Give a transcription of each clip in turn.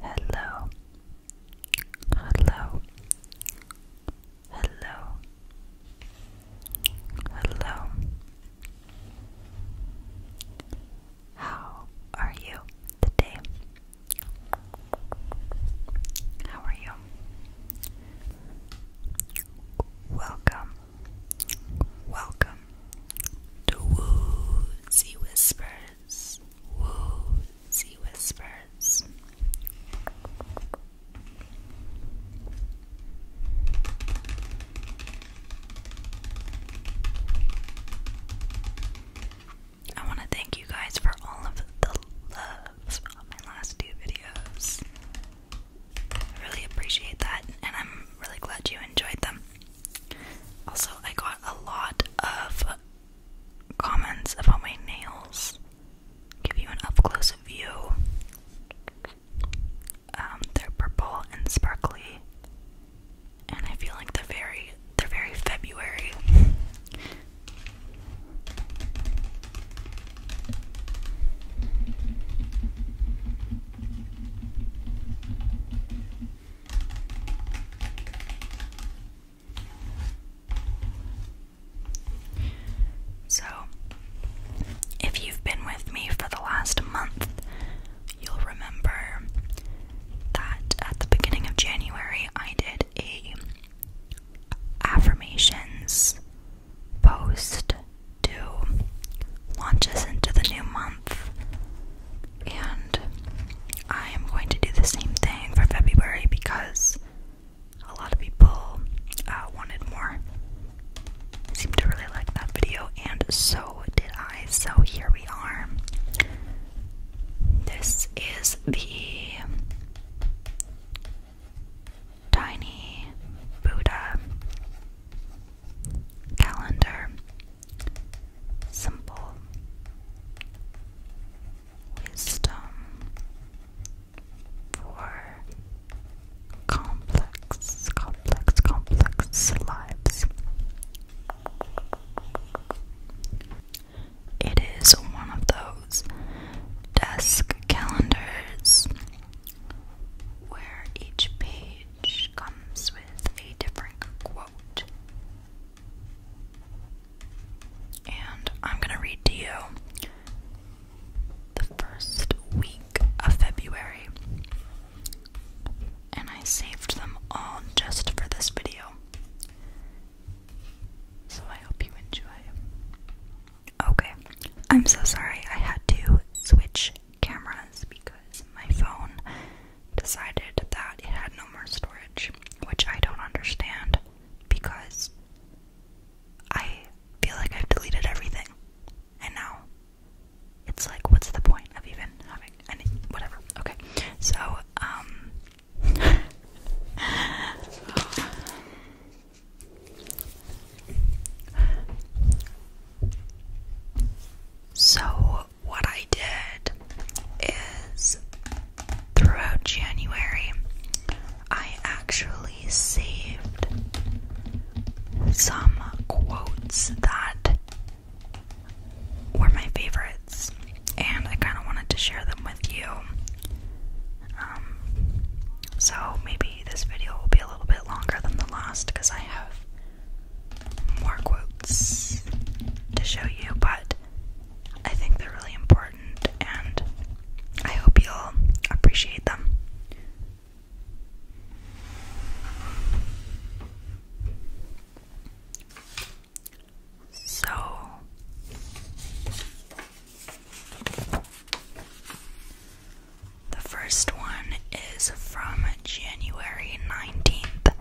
Hello, hello, hello, hello. How are you today? How are you? Welcome, welcome, to woozy whispers, he whispers. I want to thank you guys for all of the loves on my last two videos. I really appreciate that, and I'm really glad you enjoyed them. Also, I got a lot of comments about my nails. Give you an up close view. Um, they're purple and sparkly, and I feel like they're very they're very February. So, if you've been with me for the last month, you'll remember that at the beginning of January I did a affirmations post to launch us into the new month and I am going to do the same thing for February because a lot of people uh, wanted more. Seemed to really like that video, and so did I. So here we are. This is the Tiny Buddha calendar simple wisdom for complex, complex, complex lives. It is one of those desk calendars where each page comes with a different quote and I'm going to read to you the first week of February. And I saved them all just for this video. So I hope you enjoy. Okay, I'm so sorry I had to switch cameras because my phone decided that it had no more storage, which I don't understand because I feel like I've deleted everything. And now it's like, what's the point of even having any, whatever. Okay, so, um, so what I did is throughout January, I actually saved some quotes that were my favorites, and I kind of wanted to share them with you. Um, so maybe this video will be a little bit longer than the last because I have more quotes to show you, but I think they're really important and I hope you'll appreciate them. So, the first one is from January 19th.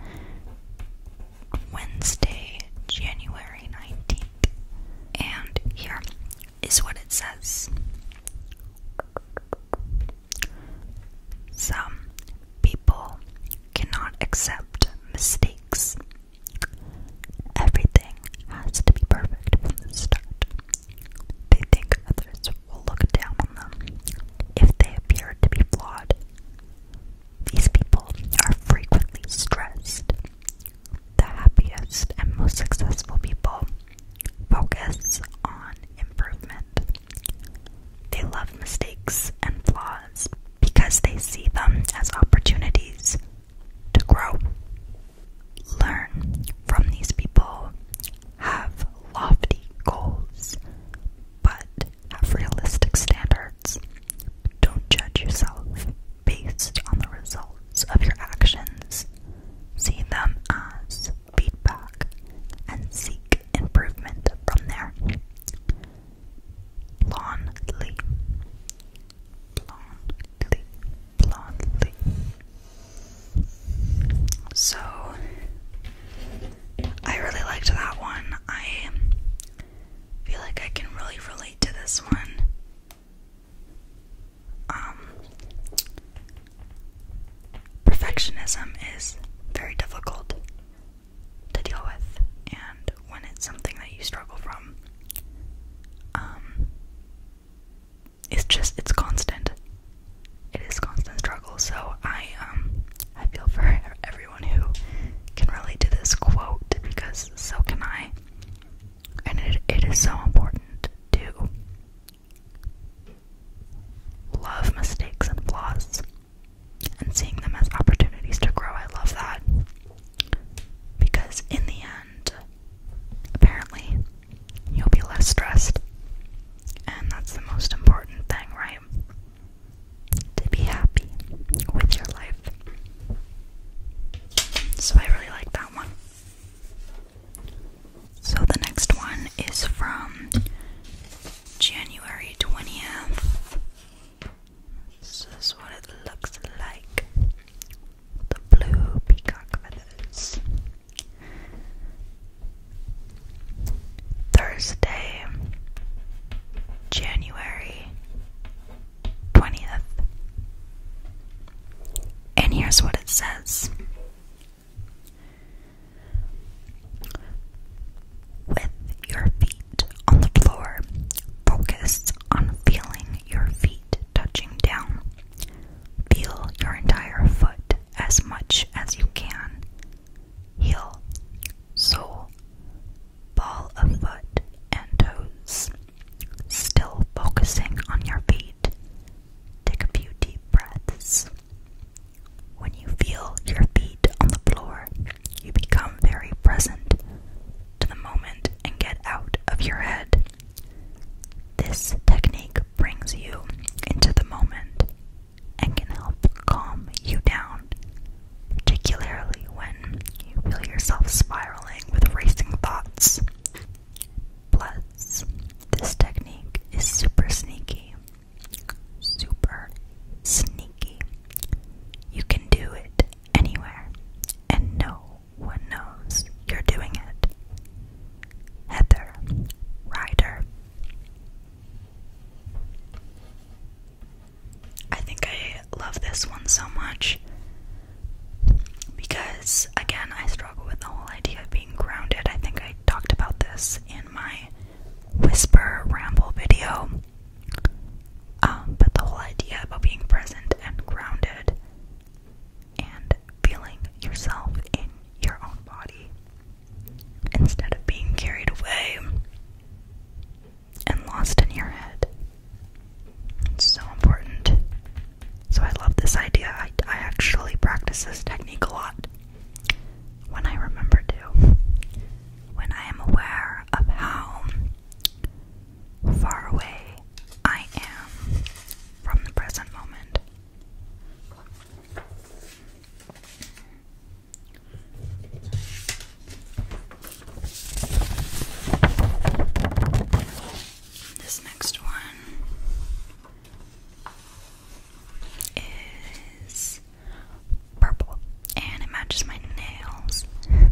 Wednesday, January 19th. And here is what it says. Some people cannot accept mistakes. Everything has to be perfect from the start. They think others will look down on them if they appear to be flawed these people are frequently stressed. The happiest and most successful people focus on improvement. They love mistakes and flaws because they see them as opportunities to grow. Learn from these people, have lofty goals, but have realistic standards. Don't judge yourself based on the results of your actions. See them as feedback and seek improvement from there. Blondly. Blondly. Blondly. So, I really liked that one. I feel like I can really relate to this one. Um, perfectionism is very difficult to deal with, and when it's something that you struggle from, um, it's just it's constant. It is constant struggle. So I um, I feel for everyone everyone who can relate to this quote because so can I. And it, it is so important to love mistakes and flaws and seeing them as opportunities to grow. I love that. Because in the end, apparently, you'll be less stressed. And that's the most important thing, right? to be happy with your life. So I really like that one. So the next one is from January 20th. This is what it looks like. The blue peacock feathers. Thursday, January 20th. And here's what it says With your feet on the floor, focus on feeling your feet touching down. Feel your entire foot as much as you can. Heel sole, ball of foot, and toes. Still focusing on your feet. Take a few deep breaths. When you feel your feet on the floor, you become very present to the moment and get out of your head. This technique brings you into the moment and can help calm you down, particularly when you feel yourself spiraling with racing thoughts. Plus, this technique is super sneaky. Super sneaky. You can do it anywhere, and no one knows you're doing it. Heather Ryder. I think I love this one so much because, again, I struggle with the whole idea of being grounded. I think I talked about this in my whisper ramble video, um, but the whole idea about being present and grounded and feeling yourself in your own body instead of being carried away and lost in your head. It's so important. So I love this idea. I, I actually practice this technique a lot when I remember to. When I am aware of how far away I am from the present moment. This next one is purple and it matches my nails, and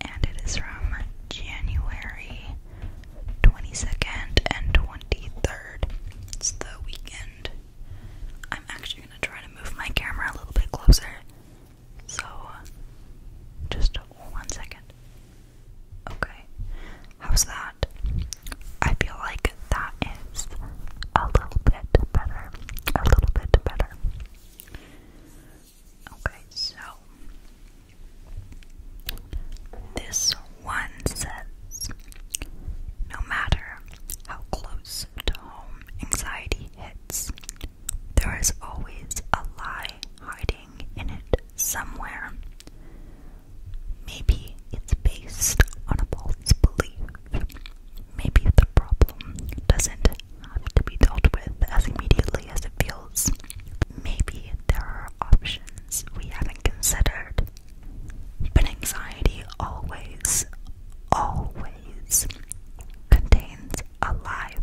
it is from January 22nd and 23rd. It's the weekend I'm actually gonna try to move my camera a little bit closer. So, just one second. Okay, how's that? I feel like that is a little bit better. A little bit better. Okay, so this one says no matter how close home anxiety hits, there is always a lie hiding in it somewhere. Maybe it's based on a false belief. Maybe the problem doesn't have to be dealt with as immediately as it feels. Maybe there are options we haven't considered but anxiety always, always contains a lie.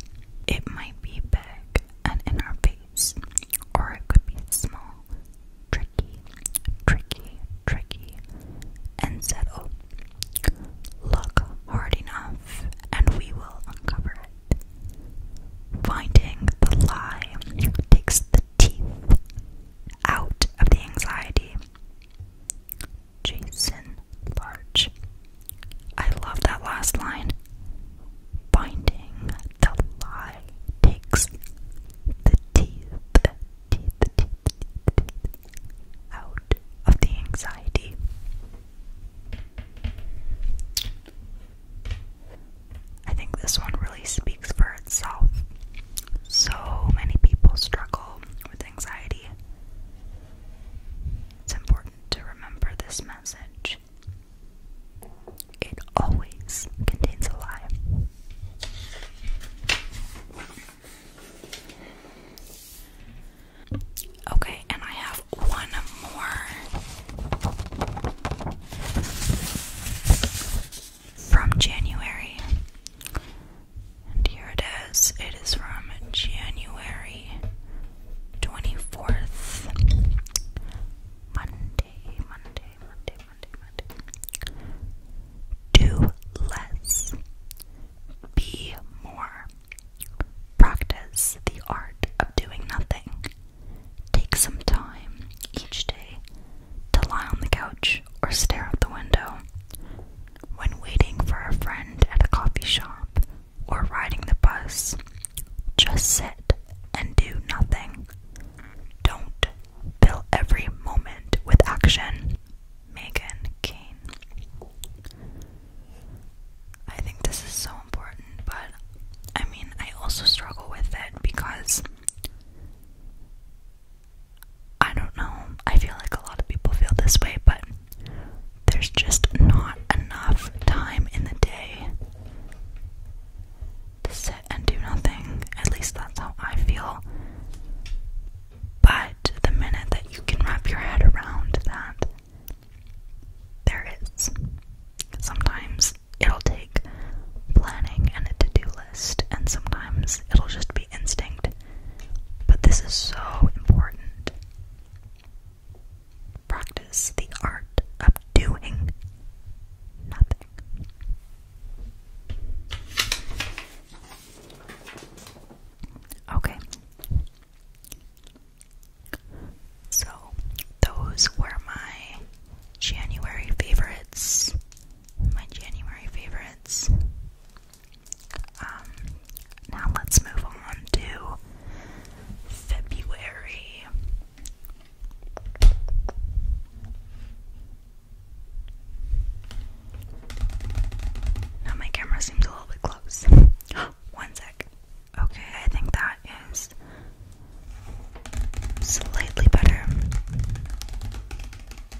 It might be big and in our face, or it could be small, tricky, tricky, tricky, and Look hard enough, and we will uncover it. Finding the lie takes the teeth out of the anxiety. Jason Larch. I love that last line. Binding the lie takes the teeth, the teeth, the teeth, the teeth out of the anxiety. I think this one really speaks for itself. So many people struggle with anxiety. It's important to remember this message. It always contains a lie. Okay, and I have one more from January. And here it is. It is from January 24th. Monday, Monday, Monday, Monday, Monday. Do less. Be more. Practice the art of doing nothing. Take some time each day to lie on the couch or stare out the window. When waiting for a friend at a coffee shop or riding the bus, just sit and do nothing. Don't fill every moment with action. Megan Kane. I think this is so important, but I mean, I also struggle with it because I don't know. I feel like a lot of people feel this way, but there's just not enough time in the day to sit and do nothing. At least that's how I feel. But the minute that you can wrap your head around that, there is. Sometimes it'll take planning and a to do list, and sometimes it'll just be instinct, but this is so important. Practice the art of doing nothing. Okay. So, those were my January favorites. My January favorites. Um, now let's move on to February. Now my camera seems a little bit close. One sec. Okay, I think that is slightly better.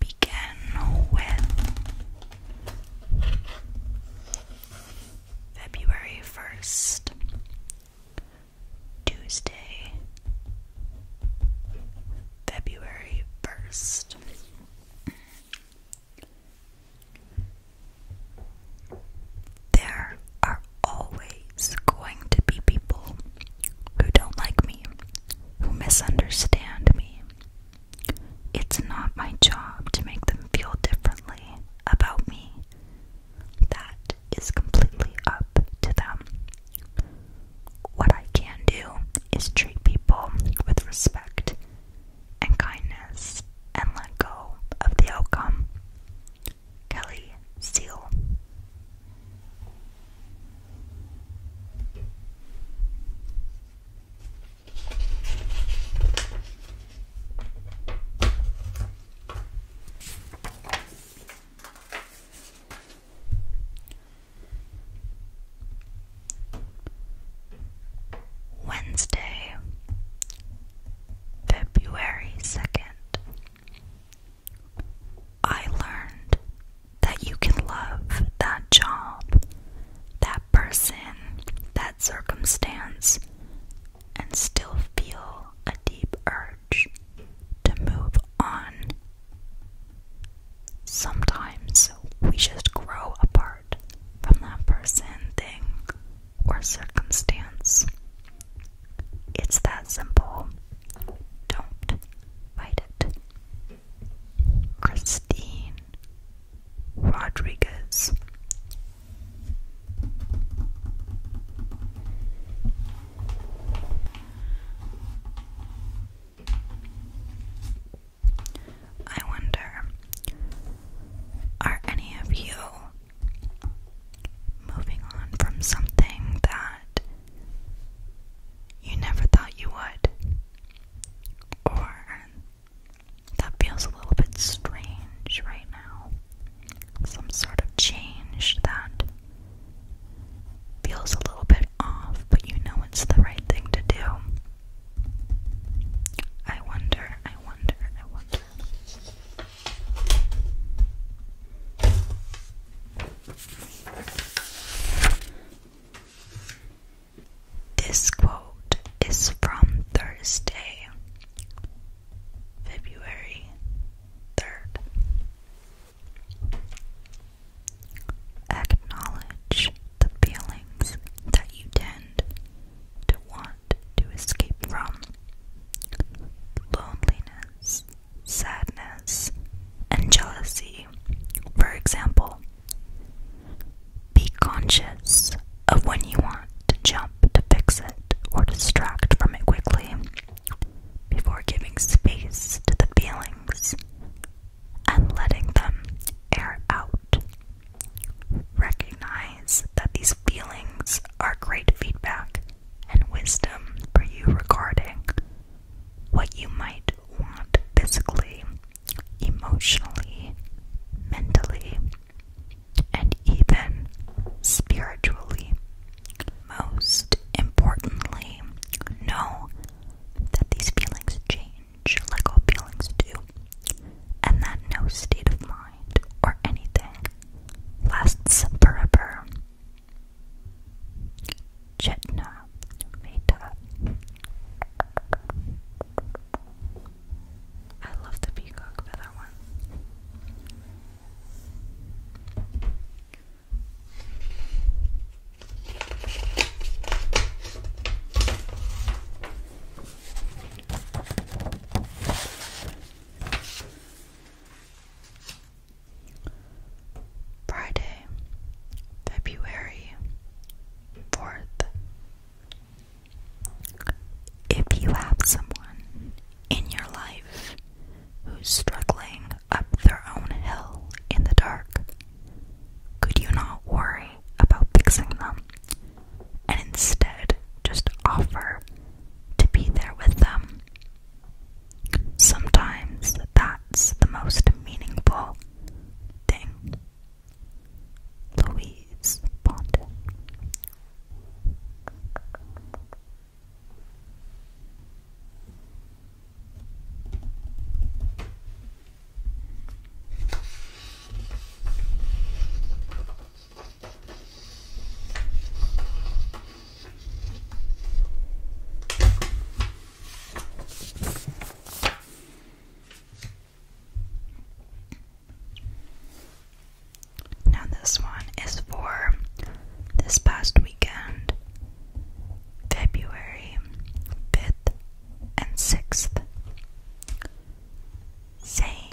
began with February 1st, Tuesday, February 1st. There are always going to be people who don't like me, who misunderstand me, it's not my job to make them feel differently about me. That is completely up to them. What I can do is treat people with respect and kindness and let go of the outcome. Kelly Seal. Wednesday, February 2nd. I learned that you can love that job, that person, that circumstance, and still feel a deep urge to move on. Sometimes we just grow apart from that person, thing, or circumstance. It's that simple. Don't fight it. Christine Rodriguez. I wonder, are any of you moving on from something that you never thought you would? Or that feels a little bit strange right now. Some sort of change that feels a little bit off, but you know it's the right thing to do. I wonder, I wonder, I wonder. This quote is from Thursday, February 3rd. Acknowledge the feelings that you tend to want to escape from loneliness, sadness, and jealousy, for example. Be conscious of when you want to jump to fix it or distract from it quickly before giving space to the feelings and letting them air out. Recognize that these feelings are great feedback and wisdom for you regarding what you might want physically emotionally, mentally, and even spiritually. Most importantly, know that these feelings change like all feelings do, and that no state of mind or anything lasts forever. Chetna Mehta I love the peacock feather one. Friday, February 4th, if you have someone in your life who's struggling up their own hill in the dark, could you not worry about fixing them and instead just offer to be there with them? Sometimes that's the most meaningful thing Louise Pondon. Now, this one is for this past weekend, February 5th and 6th. Saying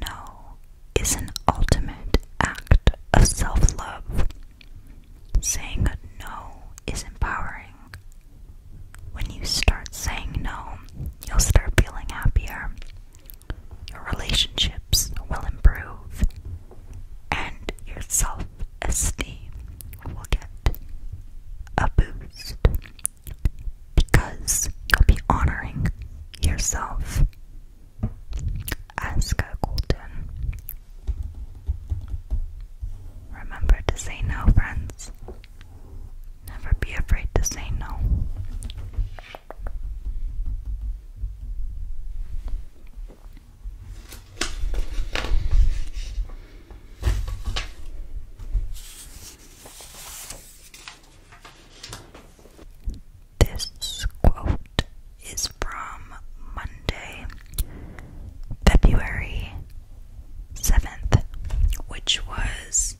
no is an ultimate act of self love. Saying no is empowering when you start saying no, you'll start feeling happier. Your relationships will improve, and your self esteem will get a boost because you'll be honoring yourself as golden. Remember to say no, friends. Never be afraid to say no. This quote is from Monday, February 7th, which was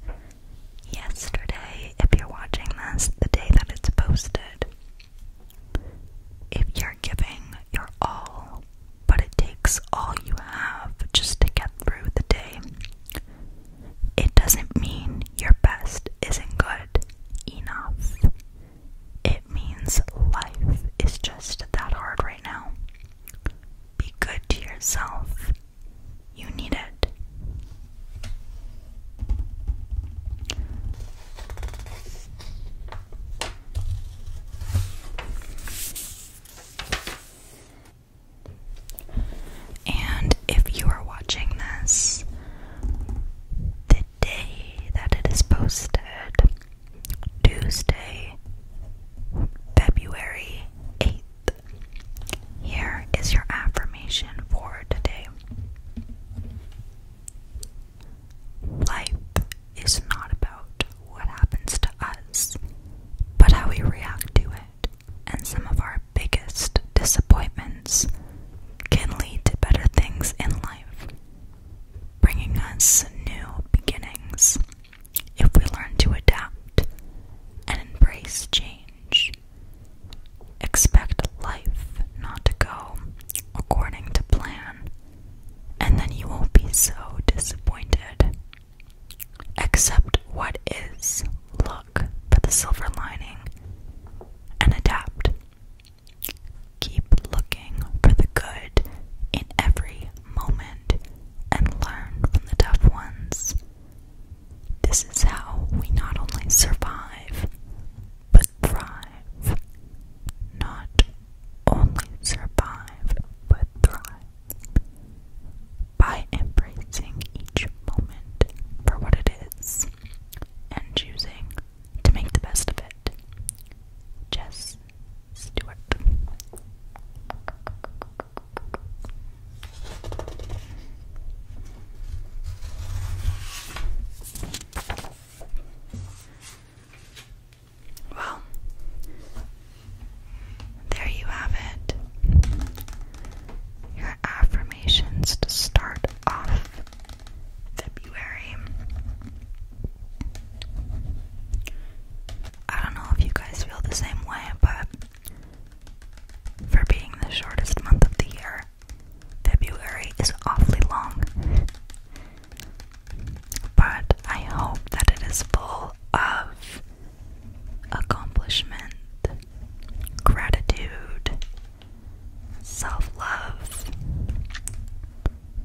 yesterday. If you're watching this, the day that it's posted, if you're giving your all, but it takes all you have just to get through the day, it doesn't mean your best isn't good enough. It means life is just that hard right now. Be good to yourself. You need it. And if you are watching this the day that it is posted, Tuesday, February 8th. Here is your affirmation for today. Life is not about what happens to us, but how we react to it. And some of our biggest disappointments can lead to better things in life, bringing us new beginnings if we learn to adapt and embrace change. Expect life not to go according to plan, and then you won't be so disappointed. Accept what is, look for the silver lining, and adapt. Keep looking for the good in every moment and learn from the tough ones. This is how we not only survive, but thrive. Not only survive, but thrive. By embracing each moment for what it is and choosing to make the best of it. Just well, there you have it. Your affirmations to start off February. I don't know if you guys feel the same way, but for being the shortest month of the year, February is awfully long. But I hope that it is full of accomplishment, gratitude, self love,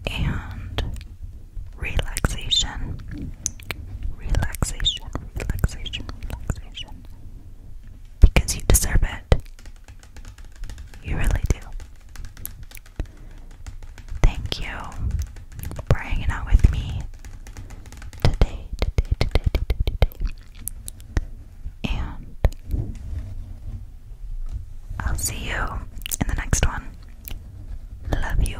and relaxation, relaxation, relaxation, relaxation. Because you deserve it. You really do. Thank you for hanging out with me today, today, today, today, today. And I'll see you in the next one. Love you.